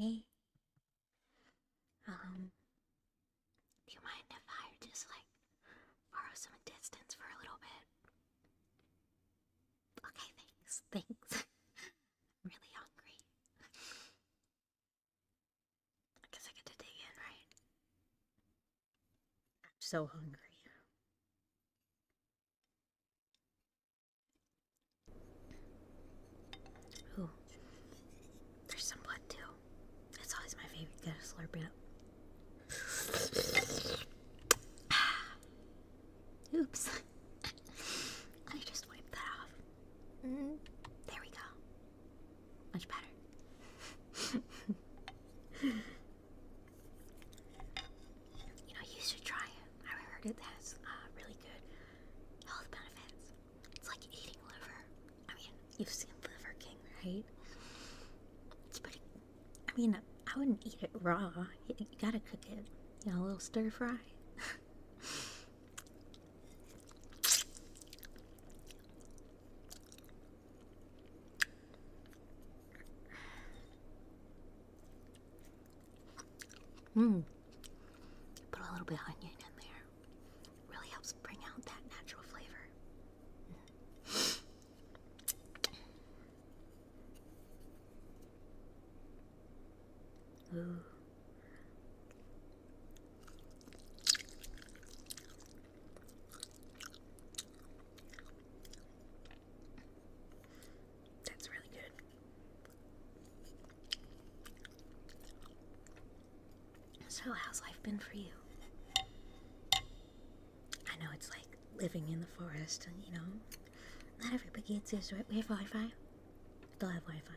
Hey. Um, do you mind if I just like borrow some distance for a little bit? Okay, thanks, thanks. I'm really hungry. I guess I get to dig in, right? I'm so hungry. Ooh, there's some blood too. That's always my favorite. Gotta slurp it up. ah. Oops. I just wiped that off. Mm-hmm. there we go. Much better. you know, you should try it. I heard it has uh, really good health benefits. It's like eating liver. I mean, you've seen Liver King, right? It's pretty. I mean, I wouldn't eat it raw. you gotta cook it. You know, a little stir fry. Mmm. Put a little bit of onion in there. Really helps bring out that natural flavor. Mm. Ooh. That's really good. So, how's life been for you? I know it's like living in the forest, and you know, not everybody gets this, right? We have Wi Fi? They'll have Wi Fi.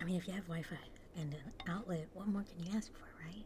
I mean, if you have Wi Fi and an outlet, what more can you ask for, right?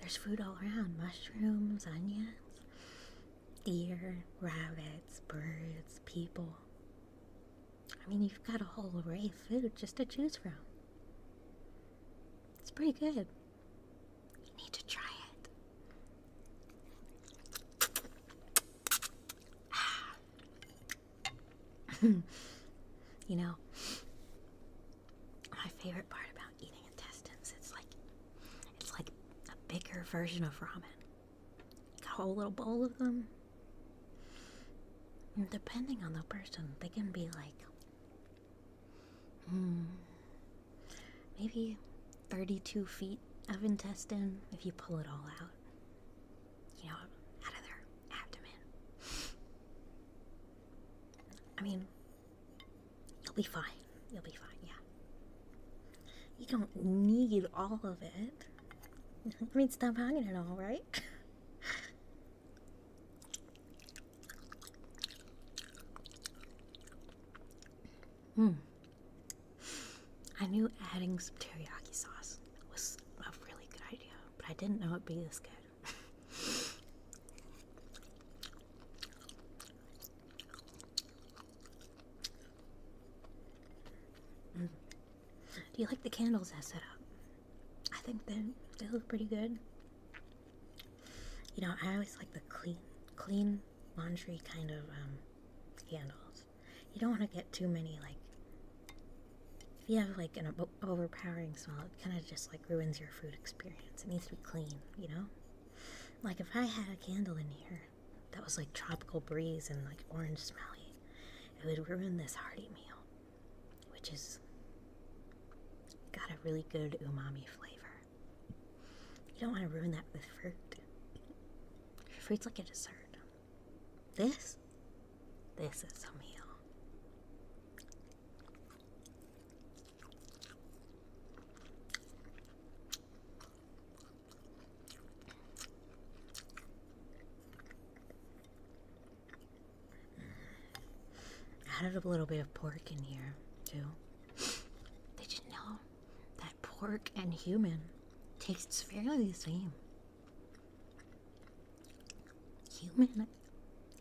There's food all around mushrooms, onions, deer, rabbits, birds, people. I mean, you've got a whole array of food just to choose from. It's pretty good. You need to try it. you know, my favorite part about eating intestines, it's like it's like a bigger version of ramen. Got a whole little bowl of them. And depending on the person, they can be like hmm, maybe 32 feet of intestine if you pull it all out you know, out of their abdomen. I mean, you'll be fine. You'll be fine, yeah. You don't need all of it. I mean, stop hanging it all, right? Hmm. I knew adding some teriyaki sauce was a really good idea, but I didn't know it'd be this good. Mm. Do you like the candles I set up? I think they they look pretty good. You know, I always like the clean, clean laundry kind of um, candles. You don't want to get too many, like, if you have like an overpowering smell, it kind of just like ruins your food experience. It needs to be clean, you know? Like if I had a candle in here that was like tropical breeze and like orange smelly, it would ruin this hearty meal, which is got a really good umami flavor. You don't want to ruin that with fruit. Fruit's like a dessert. This? This is some heel. Mm. Added a little bit of pork in here too. Did you know pork and human tastes fairly the same. Human,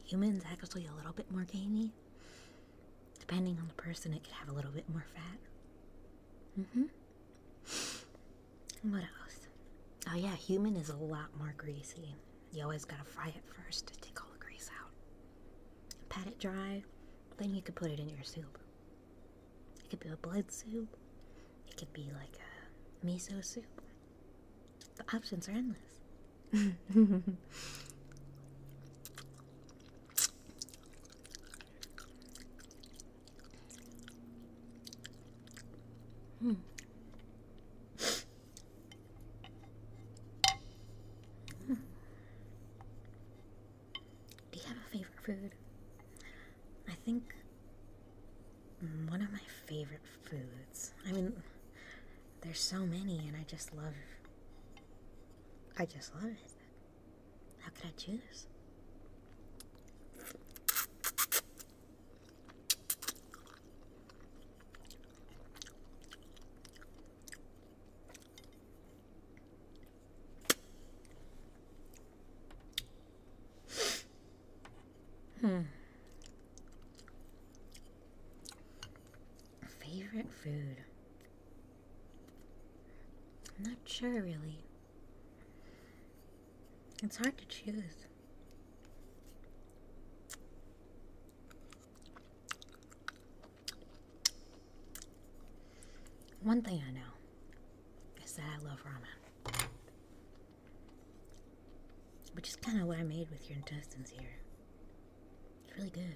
human's actually a little bit more gamey. Depending on the person, it could have a little bit more fat. Mhm. Mm what else? Oh yeah, human is a lot more greasy. You always gotta fry it first to take all the grease out. Pat it dry, then you could put it in your soup. It could be a blood soup. It could be like a miso soup. The options are endless. Hmm. Do you have a favorite food? I think one of my favorite foods. I mean, there's so many, and I just love. I just love it. How could I choose? Hmm. Favorite food? I'm not sure really. It's hard to choose. One thing I know I said I love ramen, which is kind of what I made with your intestines here. It's really good.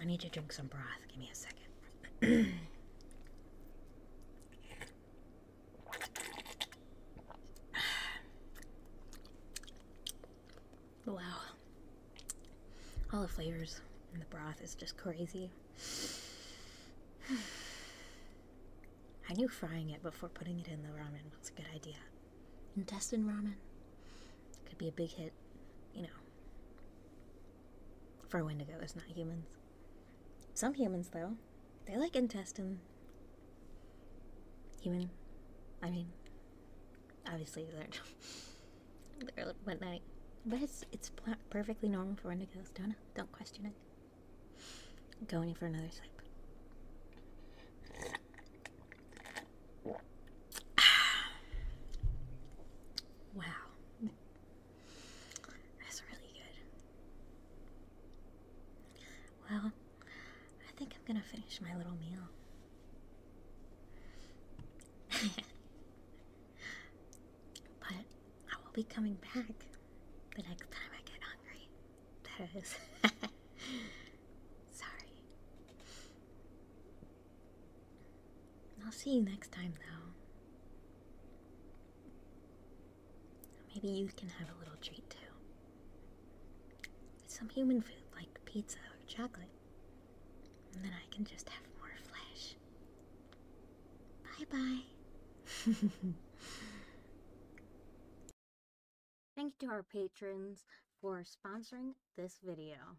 I need to drink some broth. Give me a second. Wow. All the flavors and the broth is just crazy. I knew frying it before putting it in the ramen was a good idea. Intestine ramen could be a big hit, you know. For wendigos, not humans. Some humans, though, they like intestine. Human. I mean, obviously they're, they're but night, but it's it's perfectly normal for when indigos don't don't question it going for another sip wow that's really good well i think i'm gonna finish my little meal but I will be coming back the next time I get hungry. That is. Sorry. I'll see you next time, though. Maybe you can have a little treat, too some human food like pizza or chocolate. And then I can just have more flesh. Bye bye. Thank you to our patrons for sponsoring this video.